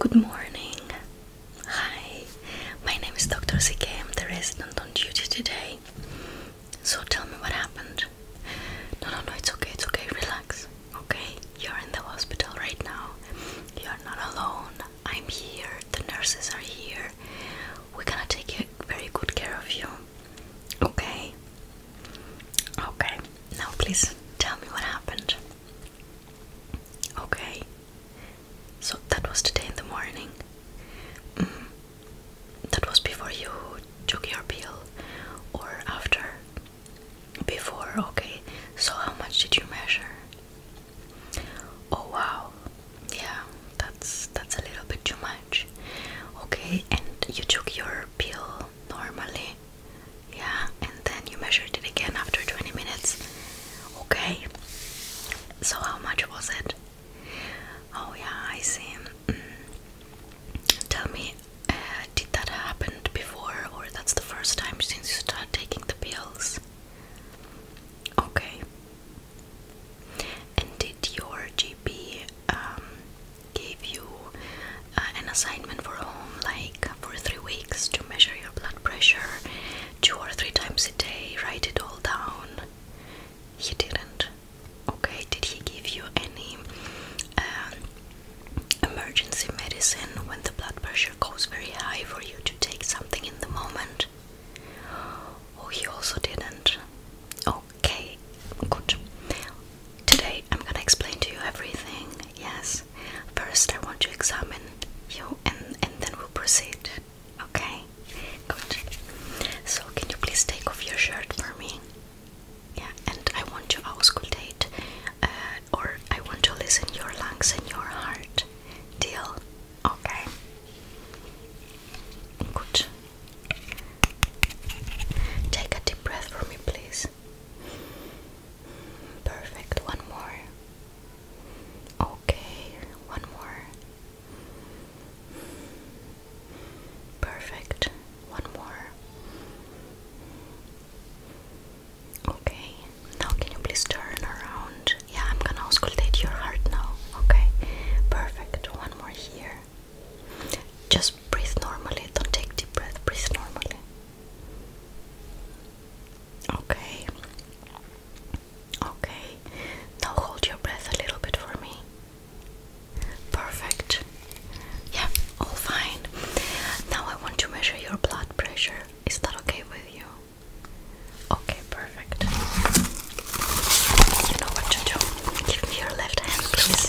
Good morning. Hi, my name is Dr. Zike. am the resident on duty today. So tell me what happened. No, no, no, it's okay, it's okay, relax. Okay, you're in the hospital right now. You're not alone. I'm here, the nurses are here. We're gonna take very good care of you. Okay? Okay, now please tell me what happened. Okay. So that was today in the morning. Mm-hmm. That was before you took your pill or after? Before, okay. So how much did you measure? Oh wow. Yeah, that's that's a little bit too much. Okay, and you took your pill normally? Yeah, and then you measured it again after 20 minutes. Okay. So how much was it? Oh yeah, I see. Mm. Tell me, uh, did that happen before or that's the first time since you started taking the pills? Okay. And did your GP um, give you uh, an assignment for home, like for three weeks, to measure your blood pressure two or three times a day, write it all down. He didn't. Okay, did he give you any um, emergency medicine when the blood pressure goes very high for you to take something in the moment? Oh, he also didn't. Okay, good. Today I'm gonna explain to you everything. Yes, First, I want to examine you and, and then we'll proceed. Okay? Good. So, can you please take off your shirt for me? Yeah, and I want to auscultate uh, or I want to listen your lungs and your heart. Deal? Okay. Good. Take a deep breath for me, please eyes. Perfect, one more. Okay, one more. Perfect, one more. Okay, now can you please turn around? Yeah, I'm gonna auscultate your heart now. Okay, perfect, one more here. Just breathe normally, don't take deep breath, breathe normally. Okay. Okay. Now hold your breath a little bit for me. Perfect. Yeah, all fine. Now I want to measure your blood pressure. Is that okay with you? Okay, perfect. You know what to do. Give me your left hand, please.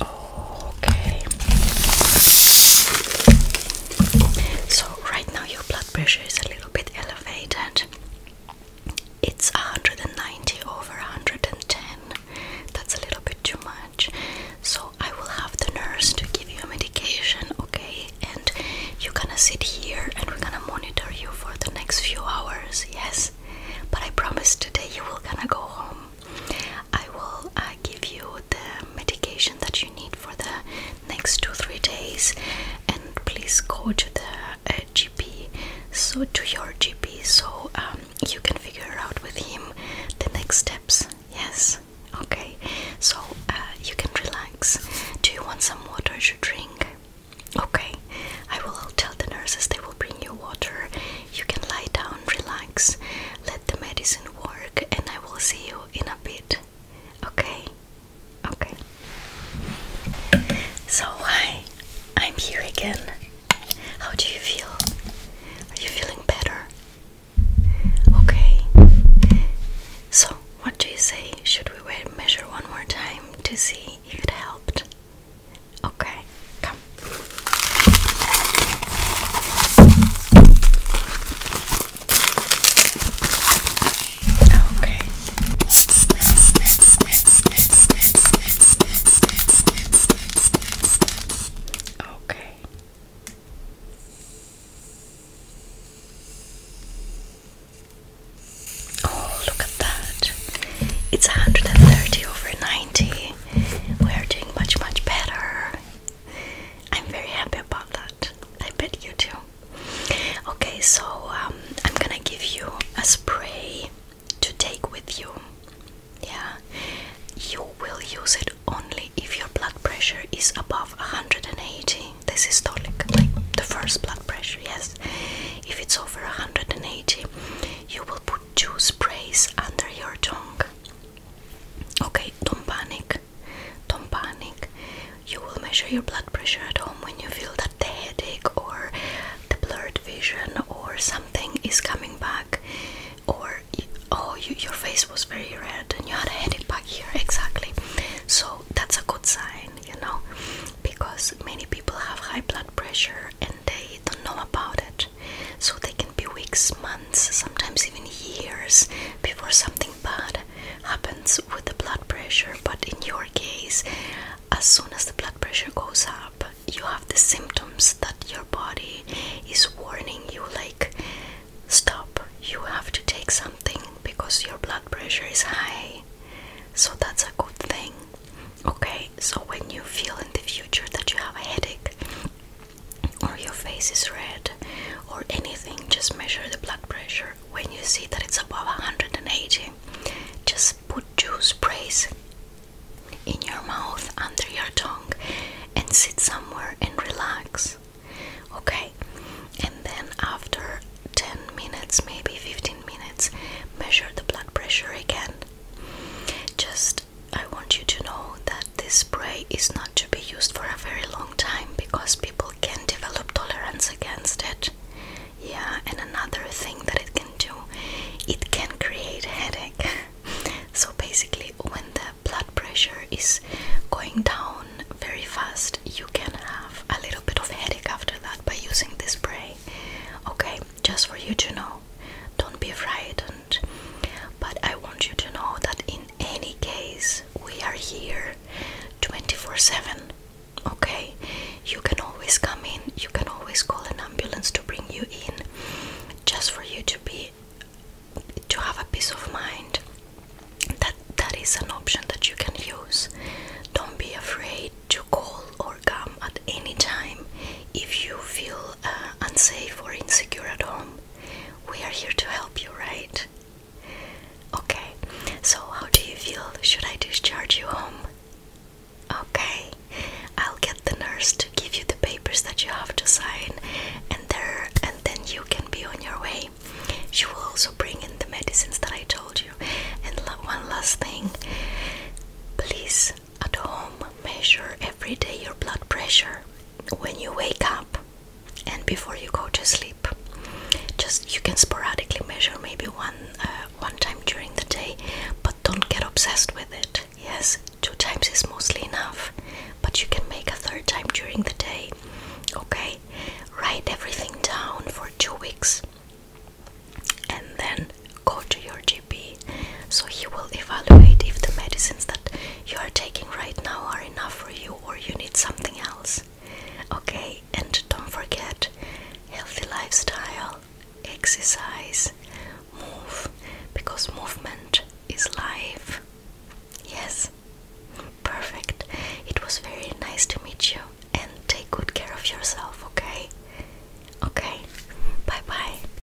Okay. So right now your blood pressure is a little bit elevated. It's 190 over 110. That's a little bit too much. So I will have the nurse to give you a medication, okay? And you're gonna sit here and we're gonna monitor you for the next few hours, yes? But I promise today you will gonna go home. I will uh, give you the medication that you need for the next two three days, and please go to the uh, GP. So to your GP, so um, you can figure out with him the next steps. Yes, okay. So uh, you can relax. Do you want some water to drink? Okay, I will tell the nurses they will bring you water. You can lie down, relax let the medicine work, and I will see you in a bit. Okay? Okay. So, hi, I'm here again. How do you feel? Are you feeling better? Okay. So, what do you say? Should we measure one more time to see if it helped? Okay come. Okay. Okay. Oh, look at that. It's 130 over 90. We are doing much, much better. I'm very happy about that. I bet you too. Okay, so um, I'm gonna give you a spray to take with you. Yeah, you will use it only if your blood pressure is above 180. This is tonic, like the first blood pressure, yes. If it's over 180, you will put two sprays under your tongue. Okay, don't panic. Don't panic. You will measure your blood pressure at home when you feel that the headache or the blurred vision or something is coming back, or oh, your face was very red and you had a headache back here. Exactly. So that's a good sign, you know, because many people have high blood pressure and they don't know about it. So they can be weeks, months, sometimes even years before something bad happens with the blood pressure. But in your case, as soon as the blood pressure goes up, you have the symptoms that your body is warning you like, stop, you have to take something because your blood pressure is high. So that's a good thing. Okay, so when you feel in the future that you have a headache, or your face is red or anything, just measure the blood pressure. When you see that it's above 180, just put two sprays in your mouth, under your tongue, and sit somewhere and relax. Okay, and then after 10 minutes, maybe 15 minutes, measure the blood pressure again. Just I want you to know that this spray is not to be used for a very long time because people can develop tolerance against it. Yeah, and another thing that it can do, it can create headache. so basically when the blood pressure is going down very fast, you can have a little bit of headache after that by using this spray. Okay, just for you to know. Don't be frightened. But I want you to know that in any case, we are here 24 7. Okay? You can always come in, you can always call an ambulance to bring you in, just for you to be to have a peace of mind that that is an option that you can use don't be afraid to call or come at any time if you feel uh, unsafe or insecure at home, we are here to help you, right? Okay, so how do you feel? Should I discharge you home? Okay, I'll get the nurse to give you the papers that you have to sign, and there, and then you can be on your way. She will also bring in the medicines that I told you. And one last thing, please at home, measure every day your blood pressure when you wake up and before you go to sleep. Just you can sporadically measure maybe one uh, one time during the day, but don't get obsessed with it. Yes, two times is mostly enough, but you can make a third time during the day. Okay, write everything down for two weeks and then go to your GP so he will evaluate if the medicines that you are taking right now are enough for you or you need something else. Okay, and don't forget healthy lifestyle, exercise, move because movement is life. Yes, perfect. It was very nice to meet you and take good care of yourself, okay? Okay, bye bye.